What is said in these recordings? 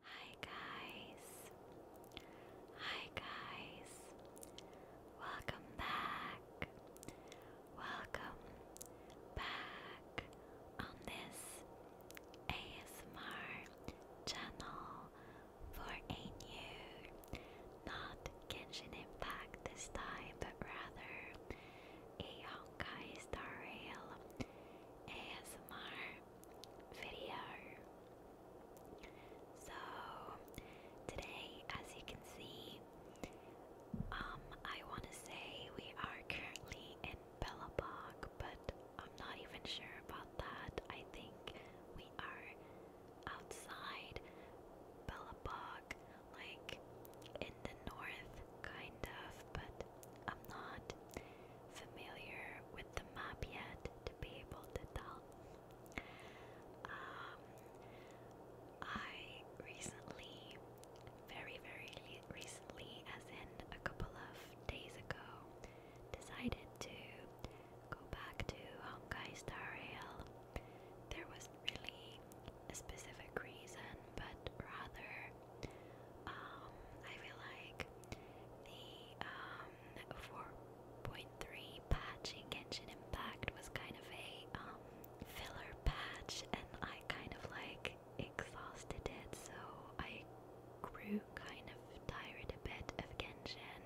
Hi guys. Hi guys. Welcome back. Welcome back on this ASMR channel for a new not Genshin Impact this time but rather a Honkai Star Rail ASMR video. So today, as you can see, um, I want to say we are currently in Bellabog, but I'm not even sure about that. I think we are outside Bellabog, like in the north, kind of, but I'm not familiar with the map yet to be able to tell. Um, I recently, very, very recently, as in a couple of days ago, decided to go back to Honkai Star Rail. There was really a specific reason, but rather um, I feel like the um, 4.3 patch in Genshin Impact was kind of a um, filler patch, and I kind of like exhausted it, so I grew kind of tired a bit of Genshin.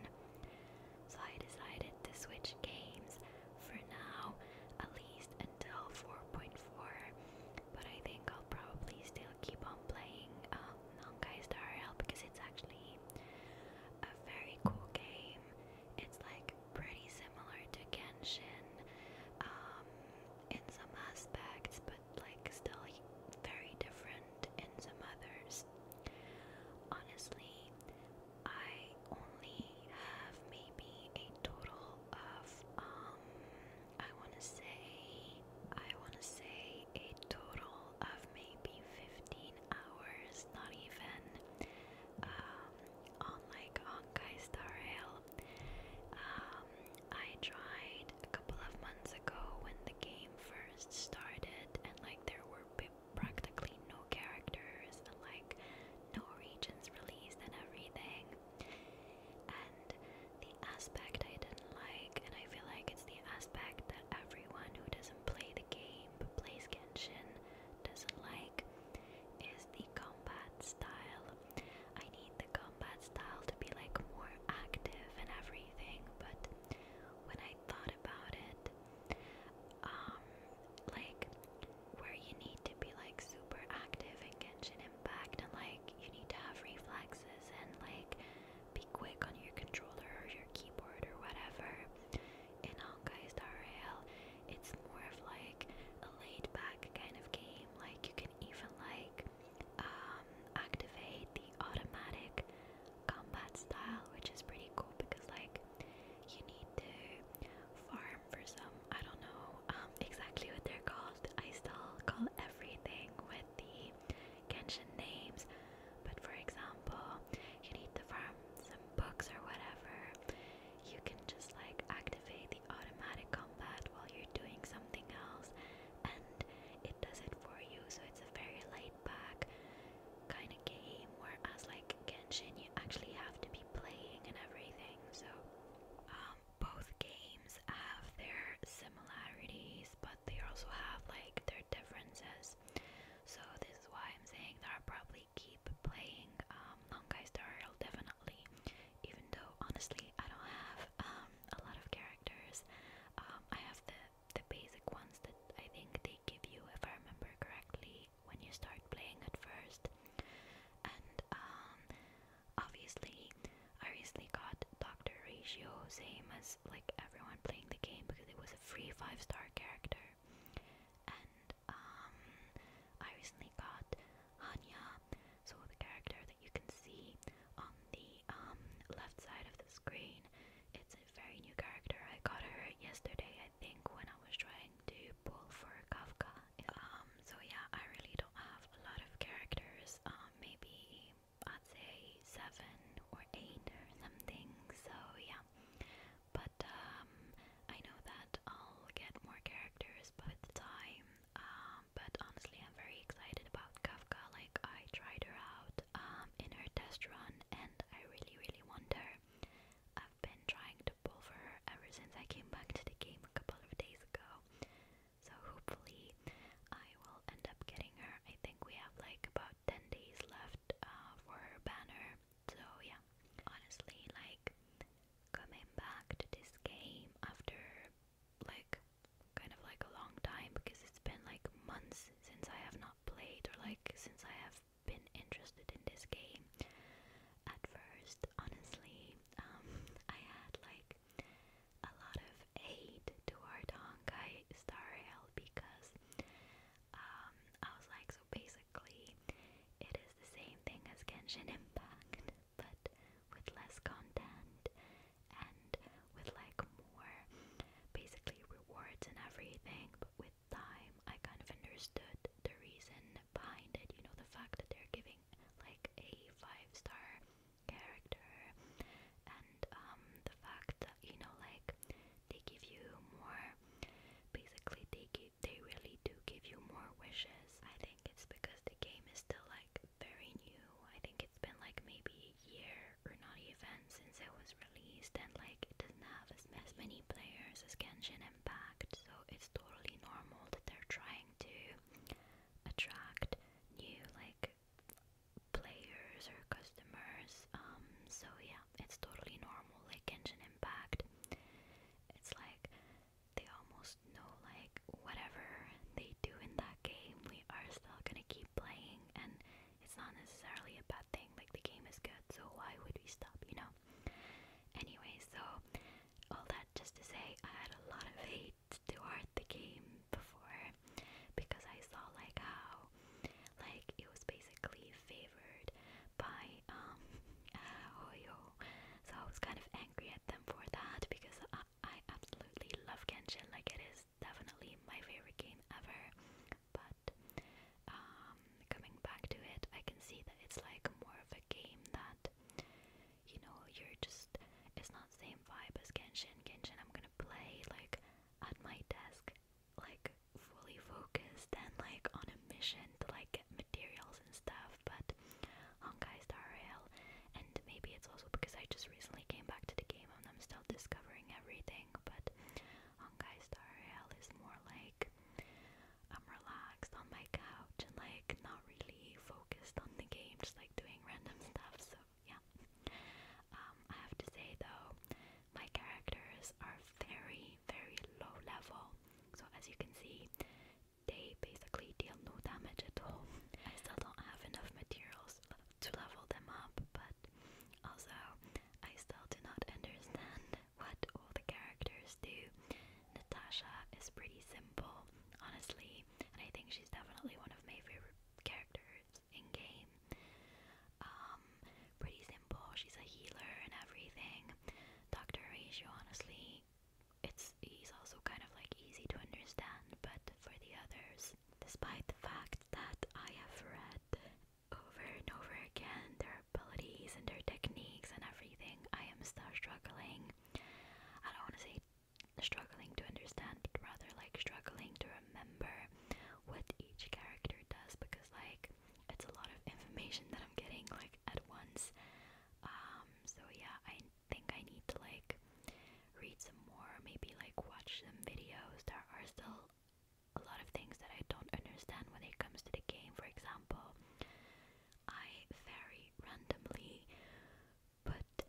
So I decided to switch games for now, at least until 4.4 but I think I'll probably still keep on playing um, Non Honkai Star because it's actually a very cool game. It's like pretty similar to Genshin um, in some aspects, but like still very different in some others. Honestly, I only have maybe a total of um I want to say, I want to say a total of maybe 15 hours, not even, um, on like Honkai Star Rail. Um, I tried a couple of months ago when the game first started, and like there were practically no characters and like no regions released and everything. And the aspect I didn't like, and I feel like it's the aspect that everyone who doesn't play the game plays Genshin doesn't like, is the combat style. I need the combat style to be like more active and everything, but when I thought about it, um, like where you need to be like super active in Genshin impact and like you need to have reflexes and like be quick on your controller or your keyboard or whatever. In Honkai Star Rail, it's more of like a laid back kind of game. Like you can even like um, activate the automatic combat style, which is pretty cool because like you need to farm for some I don't know know um, exactly what they're called. I still call everything with the Genshin names, but for example, you need to farm some books or whatever. You can just like activate the automatic combat while you're doing something else, and it does it for you. So it's a very laid back kind of game, whereas like Genshin, you actually have to be playing and everything. So, um, both games have their similarities, but they also have like their differences. So this is why I'm saying that I'll probably keep playing um, Honkai Star Rail definitely, even though honestly I don't have um, a lot of characters. Um, I have the the basic ones that I think they give you, if I remember correctly, when you start playing at first, and um, Obviously, I recently got Dr. Ratio, same as like everyone playing the game because it was a free 5 star character. And um, I recently got Hanya, so the character that you can see on the um, left side of the screen. It's a very new character. I got her yesterday, I think, when I was trying to pull for Kafka. Um, so yeah, I really don't have a lot of characters. Um, maybe I'd say seven or eight or something. So yeah, but um, I know that I'll get more characters with time. Um, but honestly, I'm very excited about Kafka. Like I tried her out um in her test run, and I really, really want her. I've been trying to pull for her ever since I came back to the game a couple of days ago. So hopefully I will end up getting her. I think we have like about 10 days left uh, for her banner. So yeah, honestly like coming back to this game after like kind of like a long time because it's been like months since I have not played or like since I have been interested in this game. At first, honestly, um, I had like a lot of hate toward Honkai Star Rail because um, I was like, so basically, it is the same thing as Genshin Impact, but with less content and with like more basically rewards and everything. But with time, I kind of understood the reason behind it. You know, the fact that they're giving like a five star character, and um, the fact that you know, like they give you more. Basically, they give, they really do give you more wishes. I think it's because the game is still like very new. I think it's been like maybe a year or not even since it was released, and like it doesn't have as many players as Genshin Impact, so it's totally normal that they're trying to attract new like players or customers. Um, so yeah, it's totally normal. Like Genshin Impact, it's like they almost know like whatever they do in that game, we are still gonna keep playing, and it's not necessarily a bad thing. Like the game is good, so why would we stop? You know. Anyway, so all that just to say I had a lot of hate toward the game before because I saw like how like it was basically favored by um Hoyo. So I was kind of angry at them for that because I, absolutely love Genshin like it is definitely my favorite game ever. But um, coming back to it, I can see that it's like more of a game that you know, you're just it's not the same vibe as Genshin. Genshin I'm gonna play like at my desk, like fully focused and like on a mission to like get materials and stuff, but Honkai Star Rail and maybe it's also because I just recently came back to the game and I'm still discovering everything, but Honkai Star Rail is more like I'm relaxed on my couch and like not really focused on the game, just like doing random stuff. So yeah. Um, I have to say though, my characters are very, very low level. So as you can see, they basically deal no damage at all. I still don't have enough materials to level them up, but also I still do not understand what all the characters do Natasha is pretty simple, honestly, and I think she's definitely one of my favorite characters in game. Um, pretty simple, she's a healer and everything. Dr. Ratio, honestly, it's he's also kind of like easy to understand, but for the others, despite the fact that I have read over and over again their abilities and their techniques and everything, I am still struggling I don't want to say struggling to understand, but rather like struggling to remember what each character does because like it's a lot of information that I'm getting like at once. Um, so yeah, I think I need to like read some more, maybe like watch some videos. There are still a lot of things that I don't understand when it comes to the game, for example. I very randomly put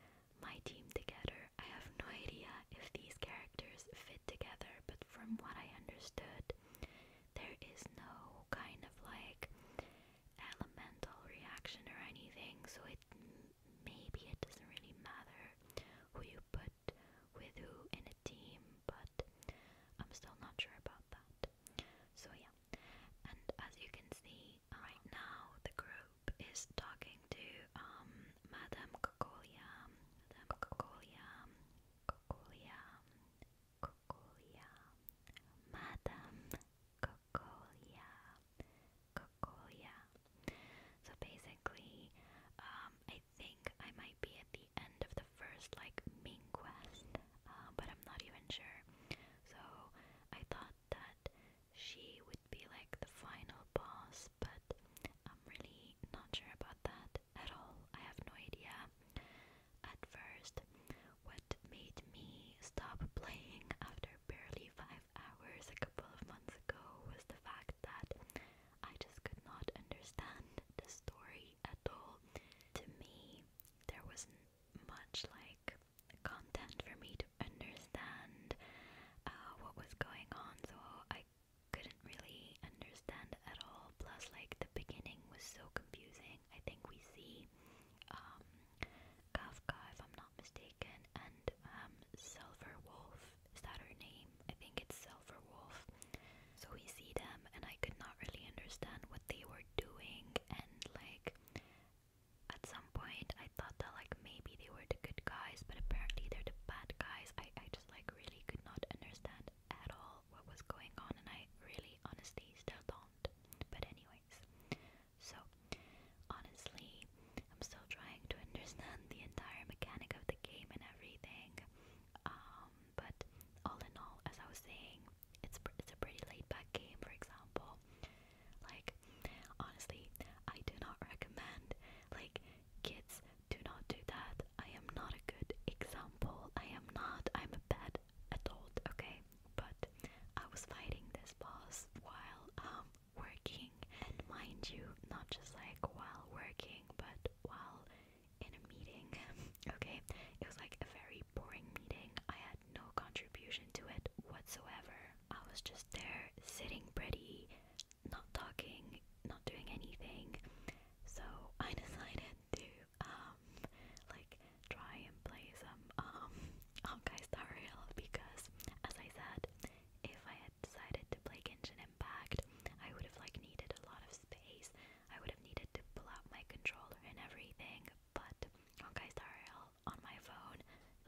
my team together. I have no idea if these characters fit together, but from what I understood, there is no kind of like elemental reaction or anything, so it maybe it doesn't really matter who you put with who in a team, but I'm still not sure about about that. So yeah, and as you can see uh, right now, the group is talking to um Madame Cocolia, Madame Cocolia, Cocolia, Cocolia, Madame Cocolia, Cocolia. So basically, um, I think I might be at the end of the first like main quest. Um, but I'm not even sure. So I thought that she would be like the final boss, but I'm really not sure about that at all. I have no idea. At first, what made me stop playing after barely five hours a couple of months ago was the fact that I just could not understand the story at all. To me, there was much like content for me to understand uh, what was going on, so I couldn't really understand at all. Plus, like the beginning was so confusing. I think we see um, Kafka, if I'm not mistaken, and um, Silverwolf. Is that her name? I think it's Silverwolf. So we see them, and I could not really understand what they were doing and like at some point I thought that like maybe they were the good guys but apparently they're the bad guys. I, I just like really could not understand at all what was going on and I really honestly still don't. But anyways, so honestly I'm still trying to understand the entire mechanic of the game and everything. Um but all in all as I was saying it's it's a pretty laid back game. For example, like honestly, I do not recommend like kids do not do that. I am not a good example. I am not. I'm a bad adult. Okay, but I was fighting this boss while um working, and mind you, not just like while working, but while in a meeting. okay, it was like a very boring meeting. I had no contribution to it whatsoever. I was just there sitting pretty, not talking, not doing anything. So I decided to um like try and play some um Honkai Star Rail because as I said, if I had decided to play Genshin Impact, I would have like needed a lot of space I would have needed to pull out my controller and everything, but on GuideStar on my phone,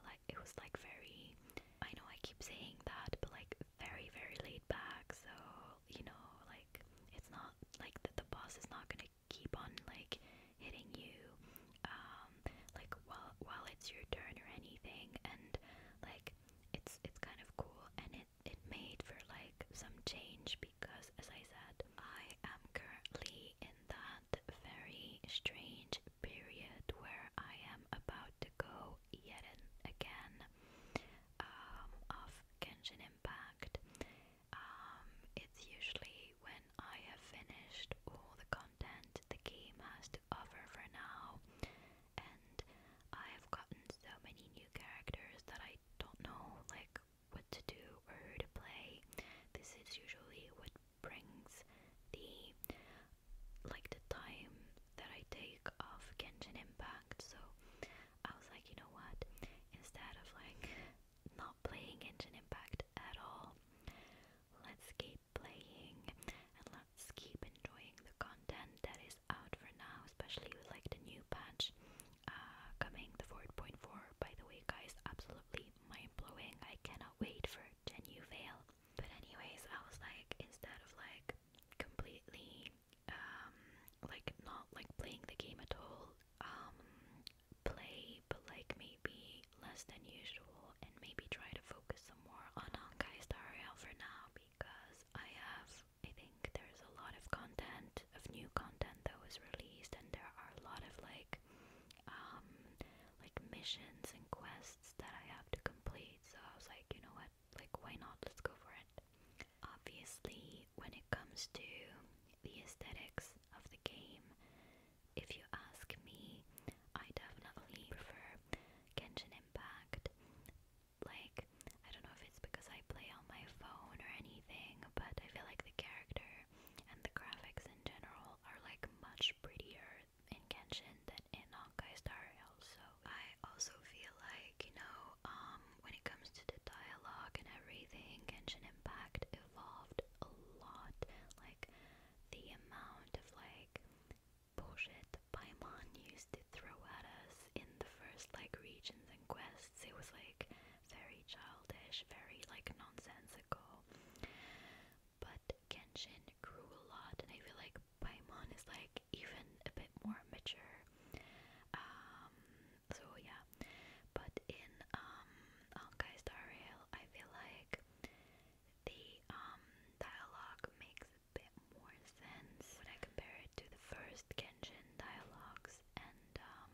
like it was like very. I know I keep saying that, but like very very laid back. So you know, like it's not like that the boss is not gonna keep on like hitting you, um, like while while it's your turn or anything, and like it's it's kind of cool and it, made for like some change because as I said, I am currently in that very strange period where I am about to go yet again um, of Genshin Impact. Um, it's usually when I have finished all the content the game has to offer for now, and I have gotten so many new characters that I don't know like what to do or to play. This is usually what brings the like the time that I take of Genshin Impact. So I was like, you know what? Instead of like not playing Genshin Impact at all, let's keep playing and let's keep enjoying the content that is out for now, especially with like the new patch uh, coming, the 4.4, by the way, guys, absolutely mind blowing. I cannot wait for Genu Veil. But, anyways, I was like, instead of like completely, um, like not like playing the game at all, um, play, but like maybe less than usual, and maybe try to focus some more on Honkai Star for now because I have I think there's a lot of content, of new content that was released, and there are a lot of like, um, like missions and quests that I have to complete. So I was like, you know what, like, why not? Let's go for it. Obviously, when it comes to the aesthetics of the game, if you ask me, I definitely prefer Genshin Impact like I don't know if it's because I play on my phone or anything, but I feel like the character and the graphics in general are like much prettier in Genshin than in Honkai Star Rail. So I also feel like, you know, um when it comes to the dialogue and everything, Genshin Impact evolved a lot. Like the amount of like bullshit Paimon used to throw at us in the first like regions and quests. It was like very childish, very like nonsensical. But Genshin grew a lot, and I feel like Paimon is like even a bit more mature. Um, so yeah, but in um, I feel like the um dialogue makes a bit more sense when I compare it to the first Genshin dialogues this, and um,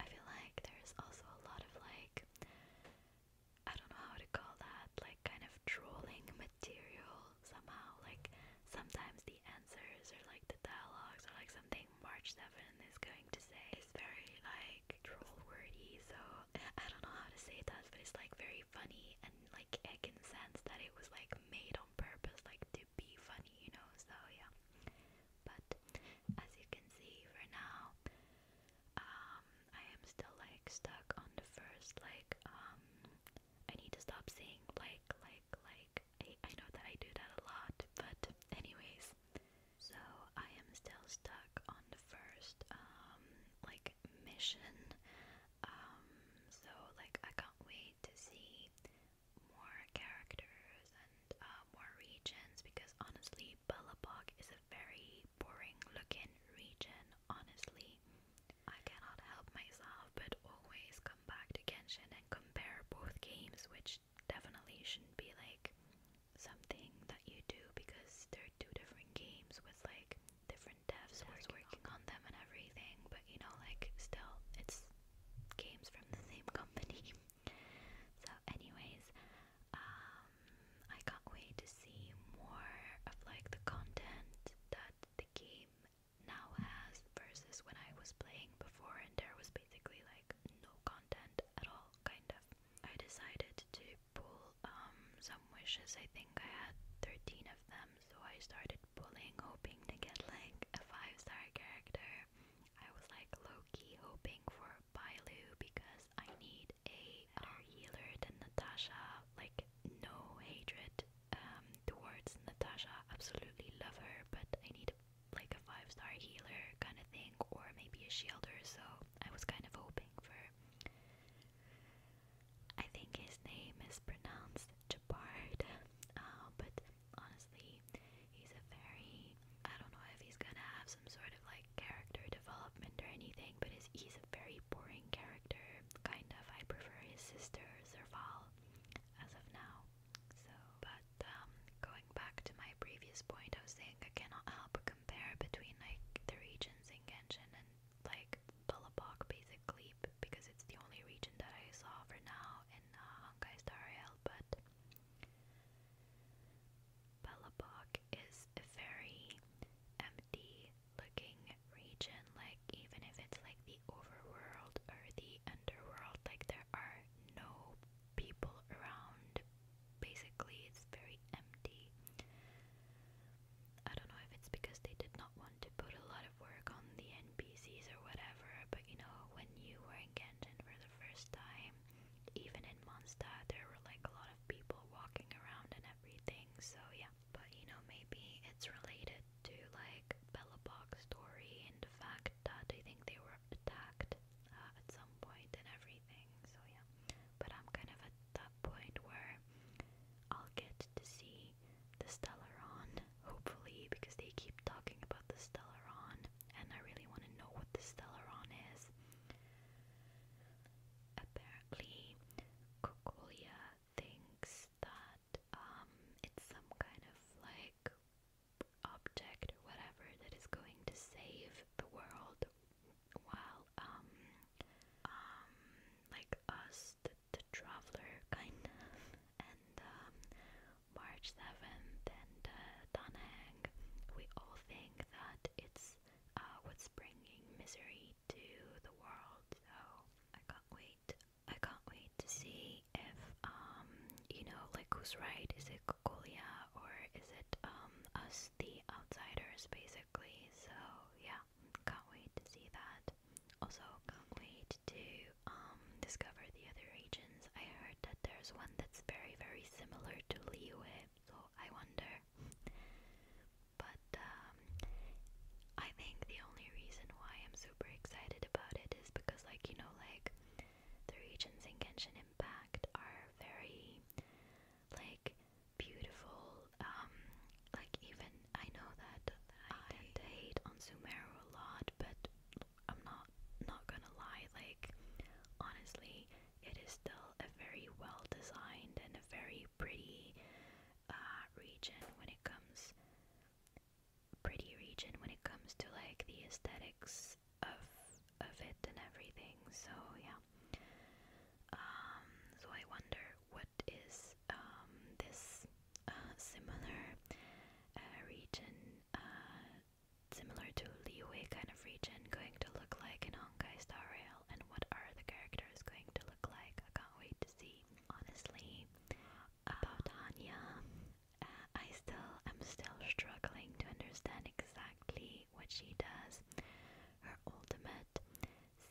I feel like there's also a lot of like, I don't know how to call that, like kind of trolling material somehow. Like sometimes the answers or like the dialogues or like something March 7 is going to say is very like troll wordy, so I don't know how to say that, but it's like very funny and like I can sense that it was like made on purpose, like to be funny you know, so yeah. But as you can see for now, um, I am still like stuck on the first like um, I need to stop saying like like like I, know that I do that a lot, but anyways. So I am still stuck on the first um, like mission. so like I can't wait to see more characters and uh, more regions because honestly, Bellabog is a very boring looking region. Honestly, I cannot help myself but always come back to Genshin and compare both games, which definitely should be like something that you do because they're two different games with like different devs working, working on them and everything, but you know, like still, it's games from the same company. so, anyways, um, I can't wait to see more of like the content that the game now has versus when I was playing before, and there was basically like no content at all, kind of. I decided to pull um, some wishes. I think I had 13 of them, so I started pulling, hoping to get like a five star character. I was like low key hoping for Bailu because I need a healer than Natasha. Like, no hatred um, towards Natasha. Absolutely love her, but I need like a five star healer kind of thing, or maybe a shielder. So I was kind of hoping for. I think his name is pronounced Jabard, uh, but honestly, he's a very I don't know if he's gonna have some sort of like character development or anything, but his, he's a very boring character, kind of. I prefer his sister Serval as of now. So, but um, going back to my previous point, I was saying I cannot help but compare between like the regions in and like Balapak basically because it's the only region that I saw for now in uh, Honkai Star Rail, but Balapak is a very empty looking region, like even if it's like the overworld or the underworld, like there are no people around. Basically, it's very empty. I don't know if it's because they did not want to put a lot of work on the NPCs or whatever, but you know, when you were in Kenton for the first time, even in Mondstadt, there were like a lot of people walking around and everything, so yeah. But you know, maybe it's related to like Bellabog's story and the fact that I think they were attacked uh, at some point and everything, so yeah. But I'm kind of at that point where I'll get to see the Stellaron, hopefully, because they keep talking about the Stellaron, and I really want to know what the Stellaron is. Apparently, Kokolia thinks that um, it's some kind of like object whatever that is going to save the world while um, um, like us the Traveler, kind of, and um, March 7th and uh, We all think that it's uh, what's bringing misery to the world, so I can't wait. I can't wait to see if, um, you know, like who's right? Is it Kokolia or is it um, us, the outsiders, basically? So, yeah, can't wait to see that. Also, can't wait to um discover the other regions. I heard that there's one that's very, very similar to Liyue, so I wonder. But um, I think the only reason why I'm super excited about it is because, like you know, like the regions in Genshin Impact are very like beautiful um, like even I know that I, hate on Sumeru a lot, but I'm not not gonna lie. Like honestly, it is still a very well designed and a very pretty uh, region when it comes pretty region when it comes to like the aesthetics of of it and everything. So yeah. Um, so I wonder what is um, this uh, similar uh, region, uh, similar to Liyue kind of region, going to look like in Honkai Star Rail, and what are the characters going to look like? I can't wait to see. Honestly, about Tanya, uh, I still am still struggling to understand exactly what she does. Her ultimate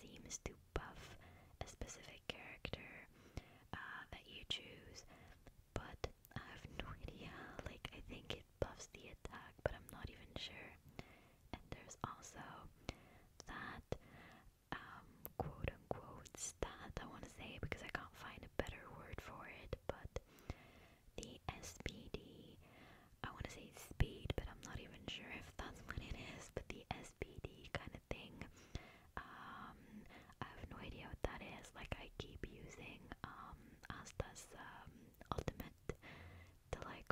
seems to buff a specific character uh, that you choose, but I have no idea. Like, I think it buffs the attack, but I'm not even sure. And there's also that um, quote unquote stat, I want to say, because I can't find a better word for it, but the SPD. I want to say speed, but I'm not even sure if that's what it is. But the S SPD kind of thing. Um, I have no idea what that is. Like I keep using um, Asta's um, ultimate to like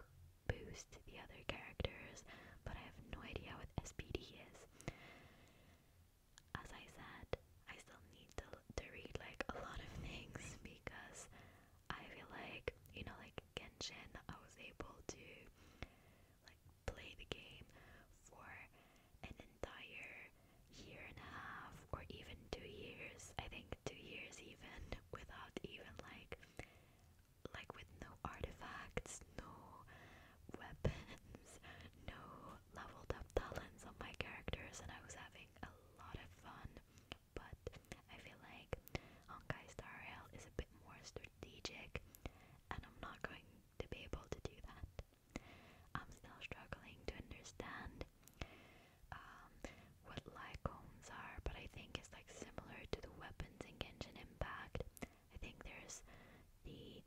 boost the other characters, but I have no idea what SPD is. As I said, I still need to, to read like a lot of things because I feel like, you know, like Genshin, I was able to like play the game for an entire year and a half or even two years. I think two years even without even like like with no artifacts, no weapons, no leveled up talents on my characters and I was having a lot of fun. But I feel like Honkai Star Rail is a bit more str strategic, and I'm not going to be able to do that. I'm still struggling to understand um, what what lycones are, but I think it's like similar to the weapons in Genshin Impact. I think there's the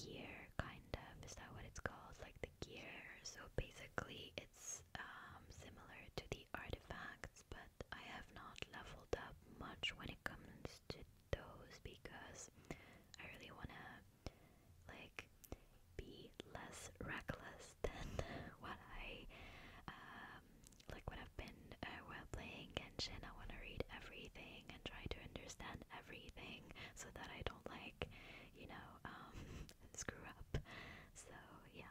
gear kind of, is that what it's called? Like the gear. So basically, it's um, similar to the artifacts, but I have not leveled up much when when it comes to those because I really want to like be less reckless than what I um, like what I've been uh, while playing Genshin. I want to read everything and try to understand everything so that I don't like you know um, screw up. So yeah.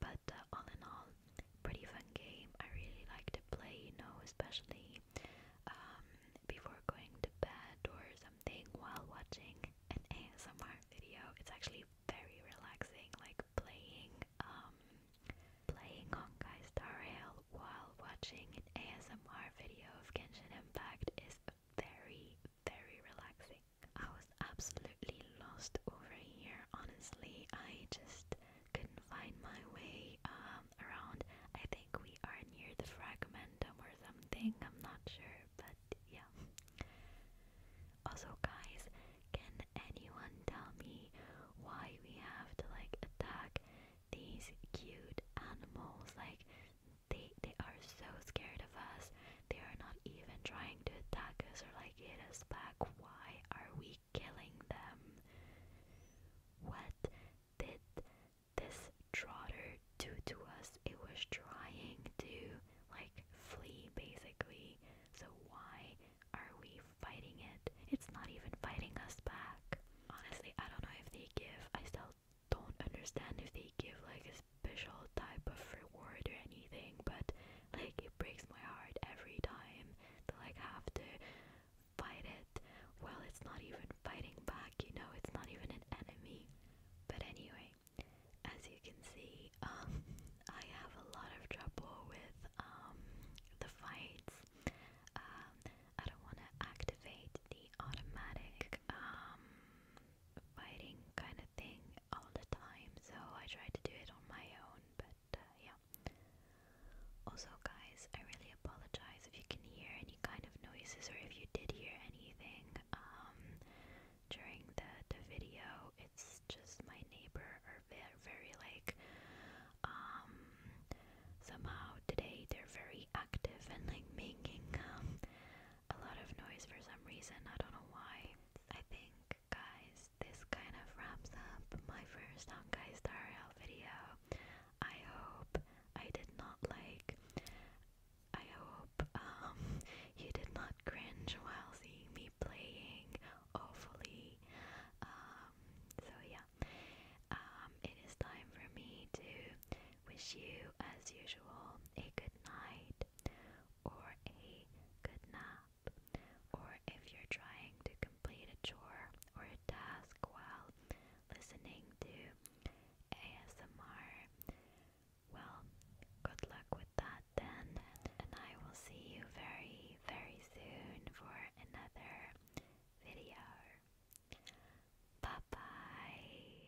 But uh, all in all, pretty fun game. I really like to play, you know, especially um, before going to bed or something while watching an ASMR video. It's actually very relaxing, like playing um, playing Honkai Star Rail while watching an ASMR video of Genshin Impact is very, very relaxing. I was absolutely lost over here, honestly. I just couldn't find my way um, around. I think we are near the fragmentum or something, I'm not sure, but yeah. Also, guys, can anyone tell me why we have to like attack these cute animals? Like, they they are so scared of us. They are not even trying to attack us or like hit us back. Why are we killing them. What did this trotter do to us? It was trying to, like, flee basically. So, why are we fighting it? It's not even fighting us back. Honestly, I don't know if they give, I still don't understand if they give, like, a special type of reward or anything, but like it breaks my heart every time to like have to fight it. Well, it's not even fighting back, you know, it's not even an enemy. But anyway, as you can see, um, I have a lot of trouble with um, the fights. Um, I don't want to activate the automatic fighting kind of thing all the time, so I try to do it on my own, but uh, yeah. Also, guys, I really apologize if you can hear any kind of noises or if you did hear anything um, during the, the video. It's just my neighbor are very, very like, um, somehow today they're very active and like making um, a lot of noise for some reason. I don't know why. I think guys, this kind of wraps up my first Honkai Star Rail video. I hope I did not like. I hope um you did not cringe while seeing me playing awfully. Um, so yeah, um, it is time for me to wish you, as usual, a good night or a good night or if you're trying to complete a chore or a task while listening to ASMR, well, good luck with that then, and I will see you very, very soon for another video. Bye bye.